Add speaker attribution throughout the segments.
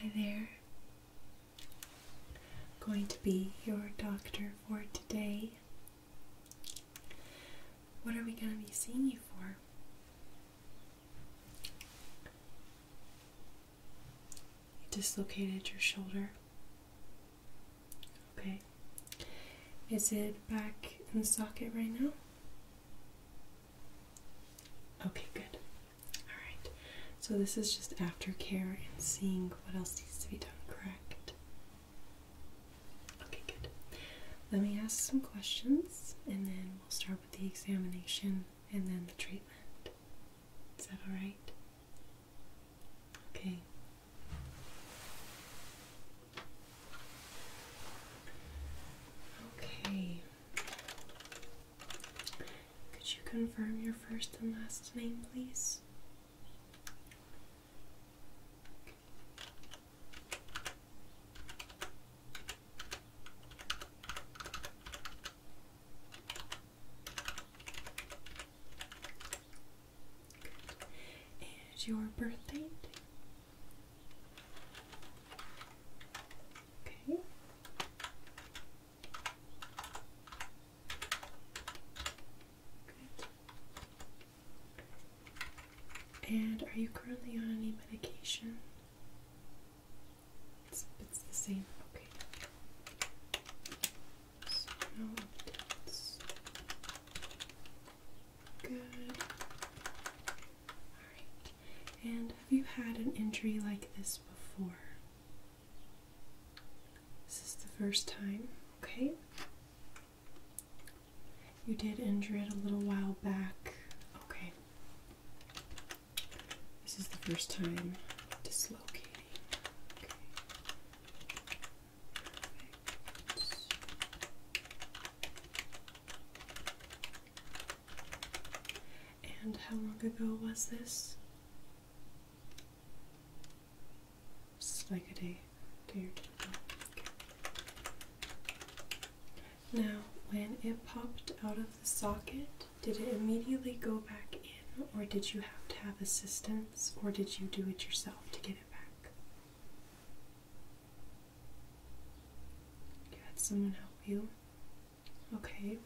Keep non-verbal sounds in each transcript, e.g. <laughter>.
Speaker 1: Hi there. I'm going to be your doctor for today. What are we going to be seeing you for? You dislocated your shoulder. Okay. Is it back in the socket right now? Okay, good. Alright. So this is just aftercare and seeing what else needs to be done, correct? Okay, good. Let me ask some questions and then we'll start the examination and then the treatment. Is that alright? Okay. Okay. Could you confirm your first and last name, please? Good. your birth Okay. And are you currently on any medication? It's, it's the same. Okay. Good. Alright. And have you had an injury like this before? This is the first time. Okay. You did injure it a little while back. Okay. This is the first time dislocating. Okay. And how long ago was this? Just like a day, day now, when it popped out of the socket, did it immediately go back in, or did you have to have assistance, or did you do it yourself to get it back? You had someone help you? Okay.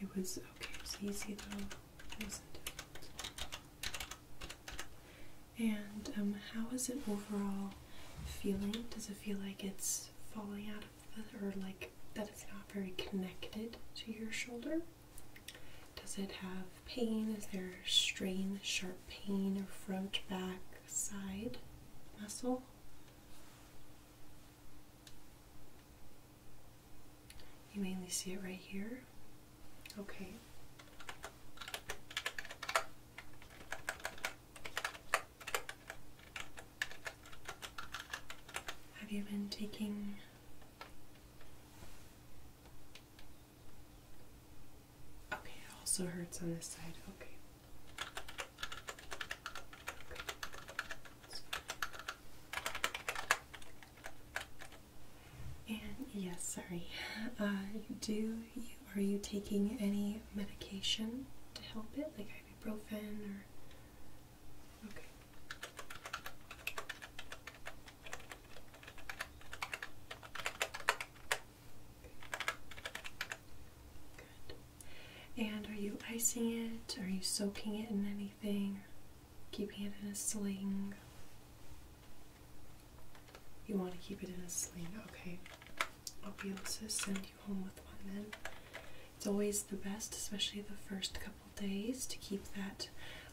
Speaker 1: It was okay, it was easy though. It wasn't difficult. And um, how is it overall feeling? Does it feel like it's falling out of the, or like that it's not very connected to your shoulder? Does it have pain? Is there strain, sharp pain, or front, back, side muscle? You mainly see it right here. Okay. Have you been taking Okay, it also hurts on this side. Okay. And yes, sorry. I <laughs> uh, do are you taking any medication to help it, like ibuprofen or? Okay. Good. And are you icing it? Are you soaking it in anything? Keeping it in a sling? You want to keep it in a sling, okay. I'll be able to send you home with one then. It's always the best, especially the first couple days, to keep that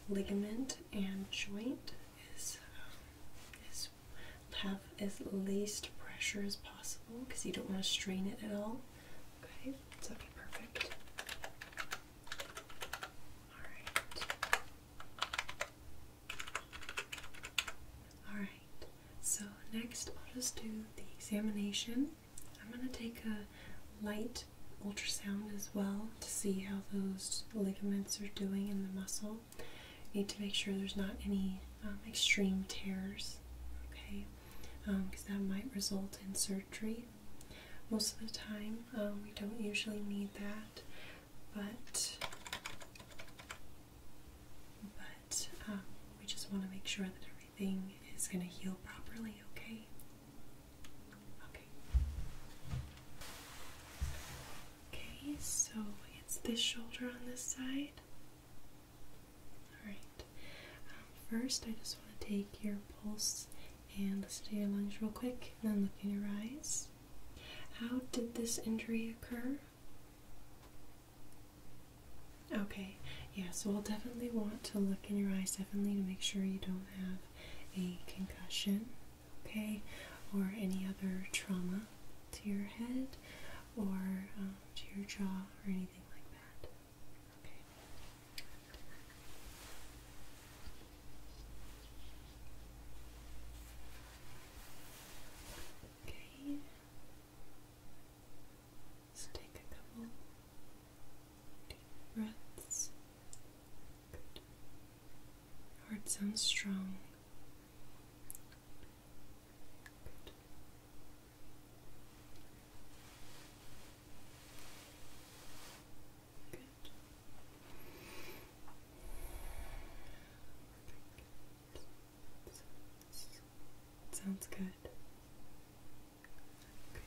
Speaker 1: ligament and joint is um, have as least pressure as possible because you don't want to strain it at all. Okay, that'd be perfect. All right. Alright, so next I'll just do the examination. I'm going to take a light ultrasound as well to see how those ligaments are doing in the muscle. need to make sure there's not any um, extreme tears, okay, because um, that might result in surgery. Most of the time, um, we don't usually need that but but um, we just want to make sure that everything is going to heal properly. Okay. Okay. Okay. So it's this shoulder on this side. All right. Um, first, I just want to take your pulse and listen to your lungs real quick, and then look in your eyes. How did this injury occur? Okay, yeah, so I'll definitely want to look in your eyes, definitely to make sure you don't have a concussion, okay, or any other trauma to your head or um, to your jaw or anything like that. Okay. Okay. take a couple deep breaths. Good. Heart sounds strong. Good. Good. Sounds good. Good.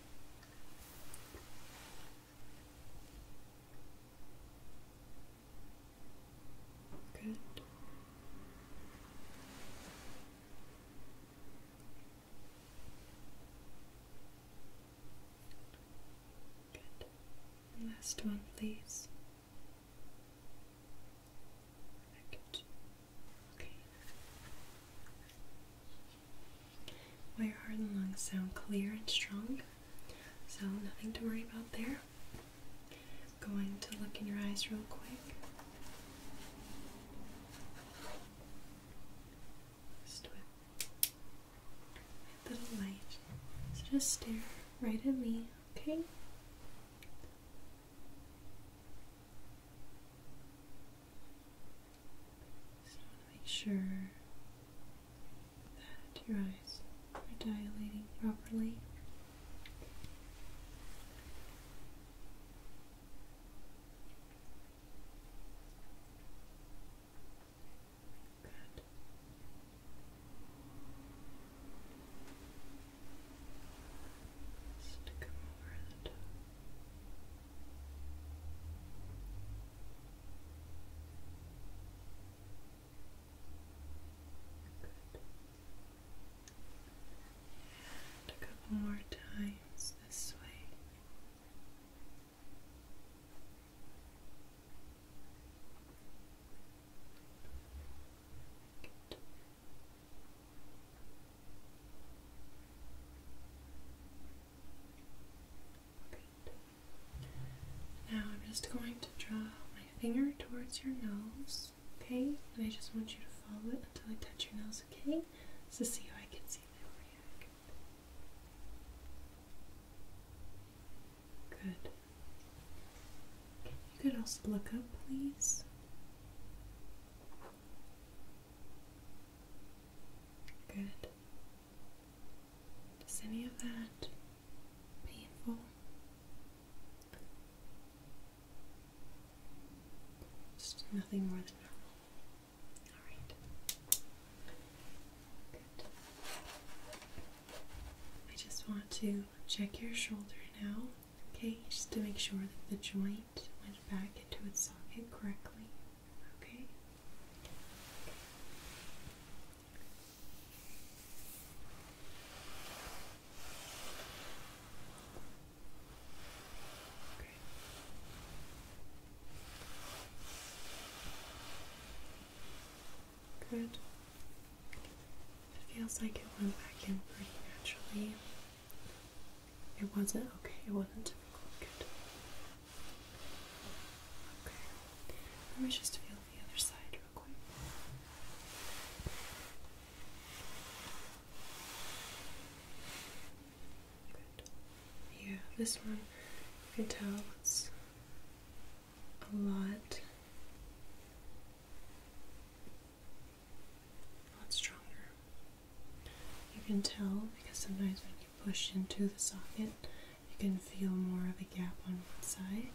Speaker 1: Good. last one, please. Good. Okay. heart and lungs sound clear and strong, so nothing to worry about there. going to look in your eyes real quick. Just with a little light. So just stare right at me. Okay. So want to make sure that your eyes are dilating properly. Good. Stick them over the top. Good. And a couple more times this way. Now I'm just going to draw my finger towards your nose, okay? And I just want you to follow it until I touch your nose, okay? So see how I can see that react. Good. You could also look up, please. Good. Is any of that painful? Just nothing more than normal. Alright. Good. I just want to check your shoulder now, okay? Just to make sure that the joint went back into its socket correctly, okay? Good. It feels like it went back in pretty naturally. It wasn't okay, it wasn't too Good. Okay. Let me just feel the other side real quick. Good. Yeah, this one you can tell it's a lot a lot stronger. You can tell because sometimes when you push into the socket, you can feel more of a gap on one side.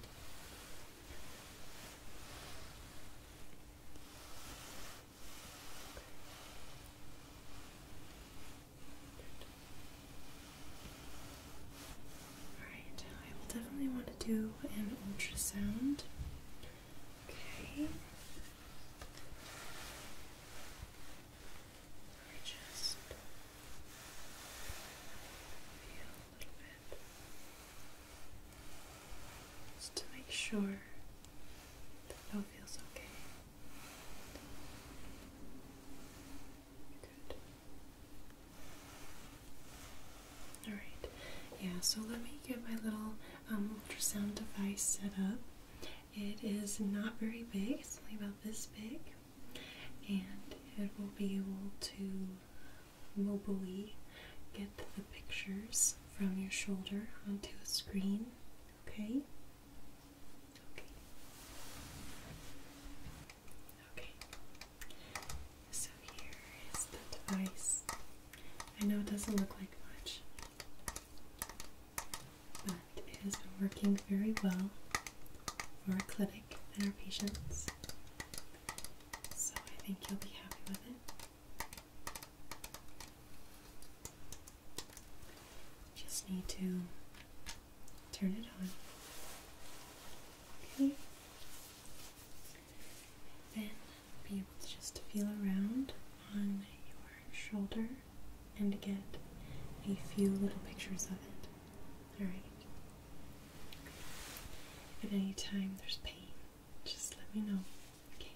Speaker 1: Alright, I will definitely want to do an ultrasound. Okay. I just feel a little bit just to make sure that it all feels okay. Good. All right. Yeah. So let me get my little um, ultrasound device set up. It is not very big. It's only about this big, and it will be able to mobilely get the pictures from your shoulder onto a screen. Okay. Okay. Okay, so here is the device. I know it doesn't look like much, but it has been working very well for our clinic and our patients. So I think you'll be happy with it. Just need to turn it on. Okay. Then be able to just feel around on your shoulder and get a few little pictures of it. Alright. at any time there's pain, just let me know. Okay.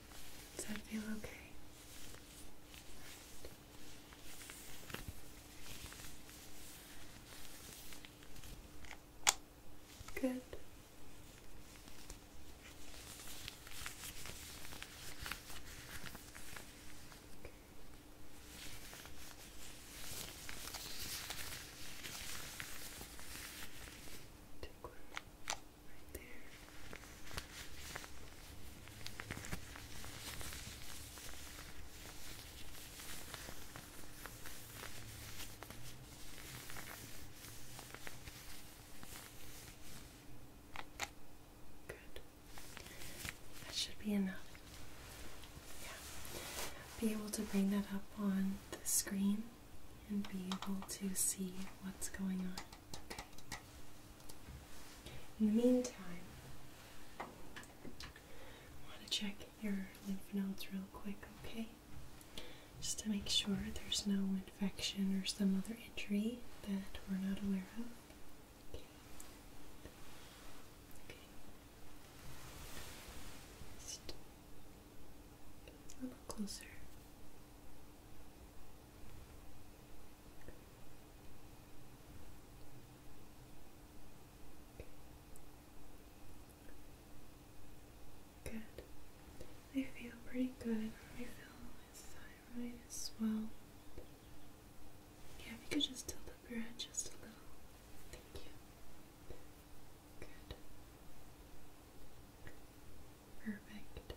Speaker 1: Does that feel okay? Good. Take Good. That should be enough. Yeah. Be able to bring that up on the screen and be able to see what's going on. In the meantime, I want to check your lymph nodes real quick, okay? Just to make sure there's no infection or some other injury that we're not aware of. A little closer. Good. I feel pretty good. I feel his thyroid as well. Yeah, you could just tilt up your head just a little. Thank you. Good. Perfect.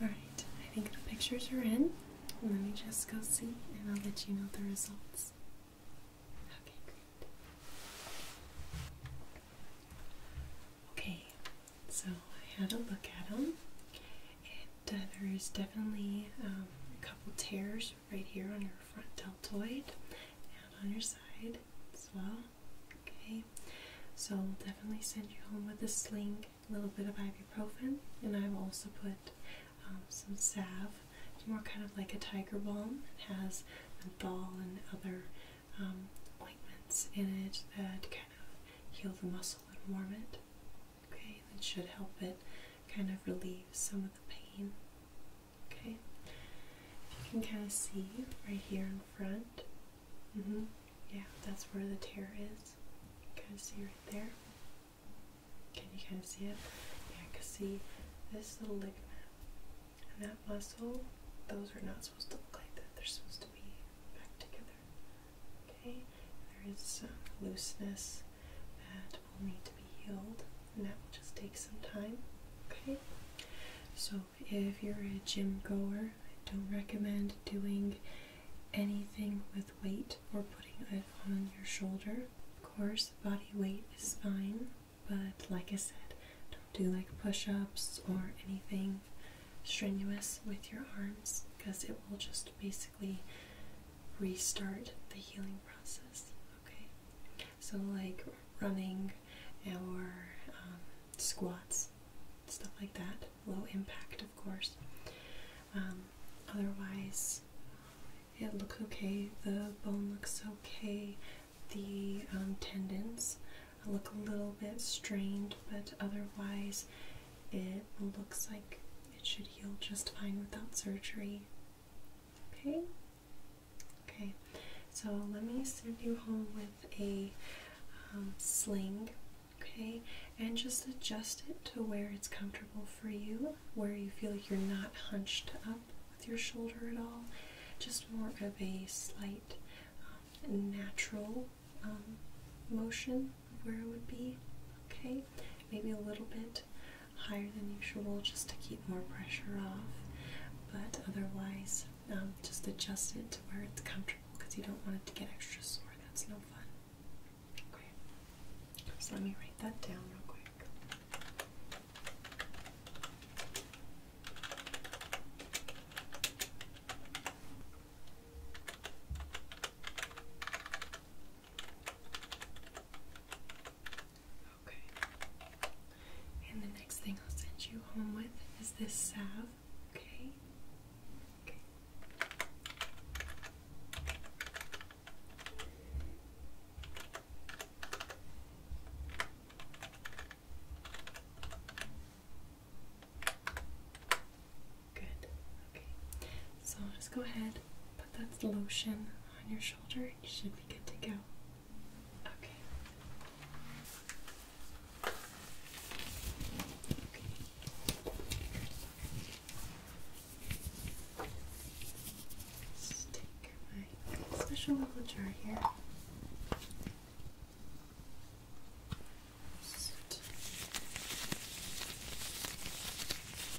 Speaker 1: All right, I think the pictures are in. Let me just go see and I'll let you know the results. Okay, great. Okay, so I had a look at them uh, there is definitely um, a couple tears right here on your front deltoid and on your side as well. Okay, so we'll definitely send you home with a sling, a little bit of ibuprofen, and i will also put um, some salve. It's more kind of like a tiger balm. It has menthol and other um, ointments in it that kind of heal the muscle and warm it. Okay, that should help it kind of relieve some of the pain. Okay, if you can kind of see right here in front. Mm -hmm. Yeah, that's where the tear is. You kind of see right there. Can you kind of see it? Yeah, I can see this little ligament and that muscle. Those are not supposed to look like that. They're supposed to be back together. Okay, there is some looseness that will need to be healed, and that will just take some time. Okay, so if you're a gym goer, I don't recommend doing anything with weight or putting it on your shoulder. Of course, body weight is fine, but like I said, don't do like push ups or anything strenuous with your arms because it will just basically restart the healing process. Okay, so like running or um, squats, stuff like that, low impact, of course. Um, otherwise, it looks okay, the bone looks okay, the um, tendons look a little bit strained, but otherwise, it looks like it should heal just fine without surgery. Okay? Okay, so let me send you home with a um, sling, okay? And just adjust it to where it's comfortable for you, where you feel you're not hunched up with your shoulder at all. Just more of a slight, um, natural um, motion where it would be. Okay, maybe a little bit higher than usual just to keep more pressure off, but otherwise, um, just adjust it to where it's comfortable because you don't want it to get extra sore. That's no fun. Okay, so let me write that down real quick. Okay. And the next thing I'll send you home with is this salve, Okay. Okay. Good. Okay. So just go ahead, put that lotion on your shoulder. You should be good to go. Okay. Okay. Just take my special little jar here.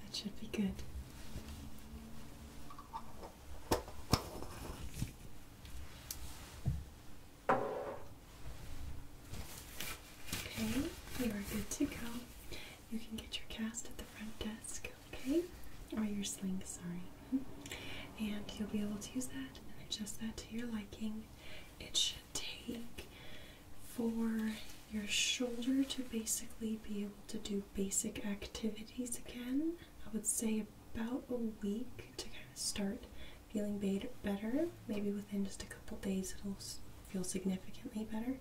Speaker 1: That should be good. Okay, you are good to go. You can get your cast at the front desk okay? Or oh, your sling, sorry. And you'll be able to use that and adjust that to your liking. It should take for your shoulder to basically be able to do basic activities again. I would say about a week to kind of start feeling better. Maybe within just a couple days it'll feel significantly better.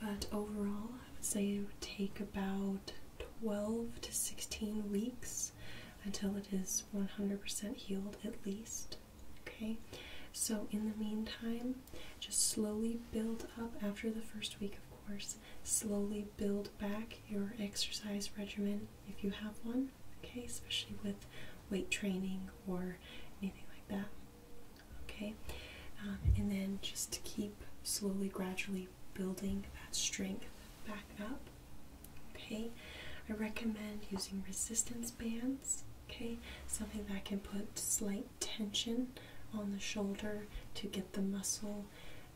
Speaker 1: But overall, I would say it would take about 12 to 16 weeks until it is 100% healed at least. Okay, so in the meantime, just slowly build up after the first week, of course, slowly build back your exercise regimen if you have one, okay, especially with weight training or anything like that. Okay, um, and then just keep slowly, gradually building that strength back up. Okay, I recommend using resistance bands. Okay, something that can put slight tension on the shoulder to get the muscle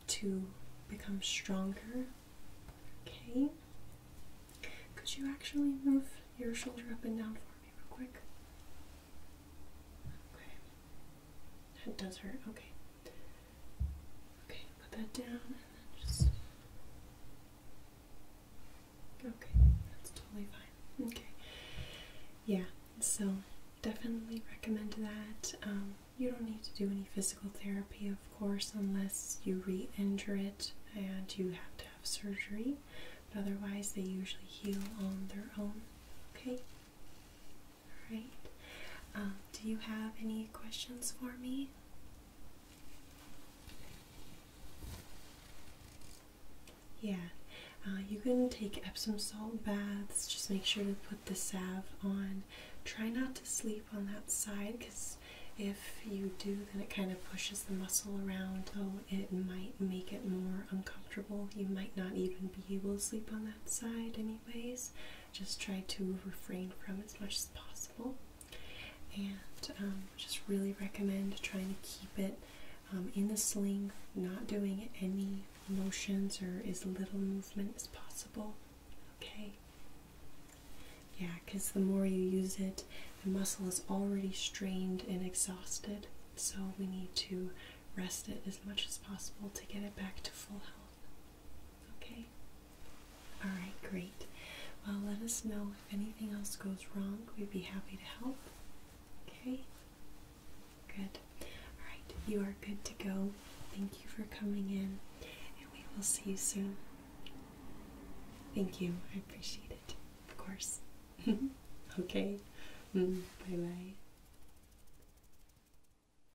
Speaker 1: to become stronger. Okay, could you actually move your shoulder up and down for me, real quick? Okay, that does hurt. Okay, Okay, put that down and then just. Okay, that's totally fine. Okay. Yeah, so definitely recommend that. Um, you don't need to do any physical therapy, of course, unless you re injure it and you have to have surgery. But otherwise, they usually heal on their own. Okay? All right. Um, do you have any questions for me? Yeah, uh, you can take Epsom salt baths. Just make sure to put the salve on. Try not to sleep on that side because if you do, then it kind of pushes the muscle around. Oh, it might make it more uncomfortable. You might not even be able to sleep on that side. I anyways. Just try to refrain from as much as possible. And um, just really recommend trying to keep it um, in the sling, not doing any motions or as little movement as possible. Okay? Yeah, because the more you use it, the muscle is already strained and exhausted. So we need to rest it as much as possible to get it back to full health. Okay? All right, great. Well, let us know if anything else goes wrong. We'd be happy to help. Okay? Good. All right, you are good to go. Thank you for coming in, and we will see you soon. Thank you. I appreciate it. Of course. <laughs> okay. Mm, bye bye.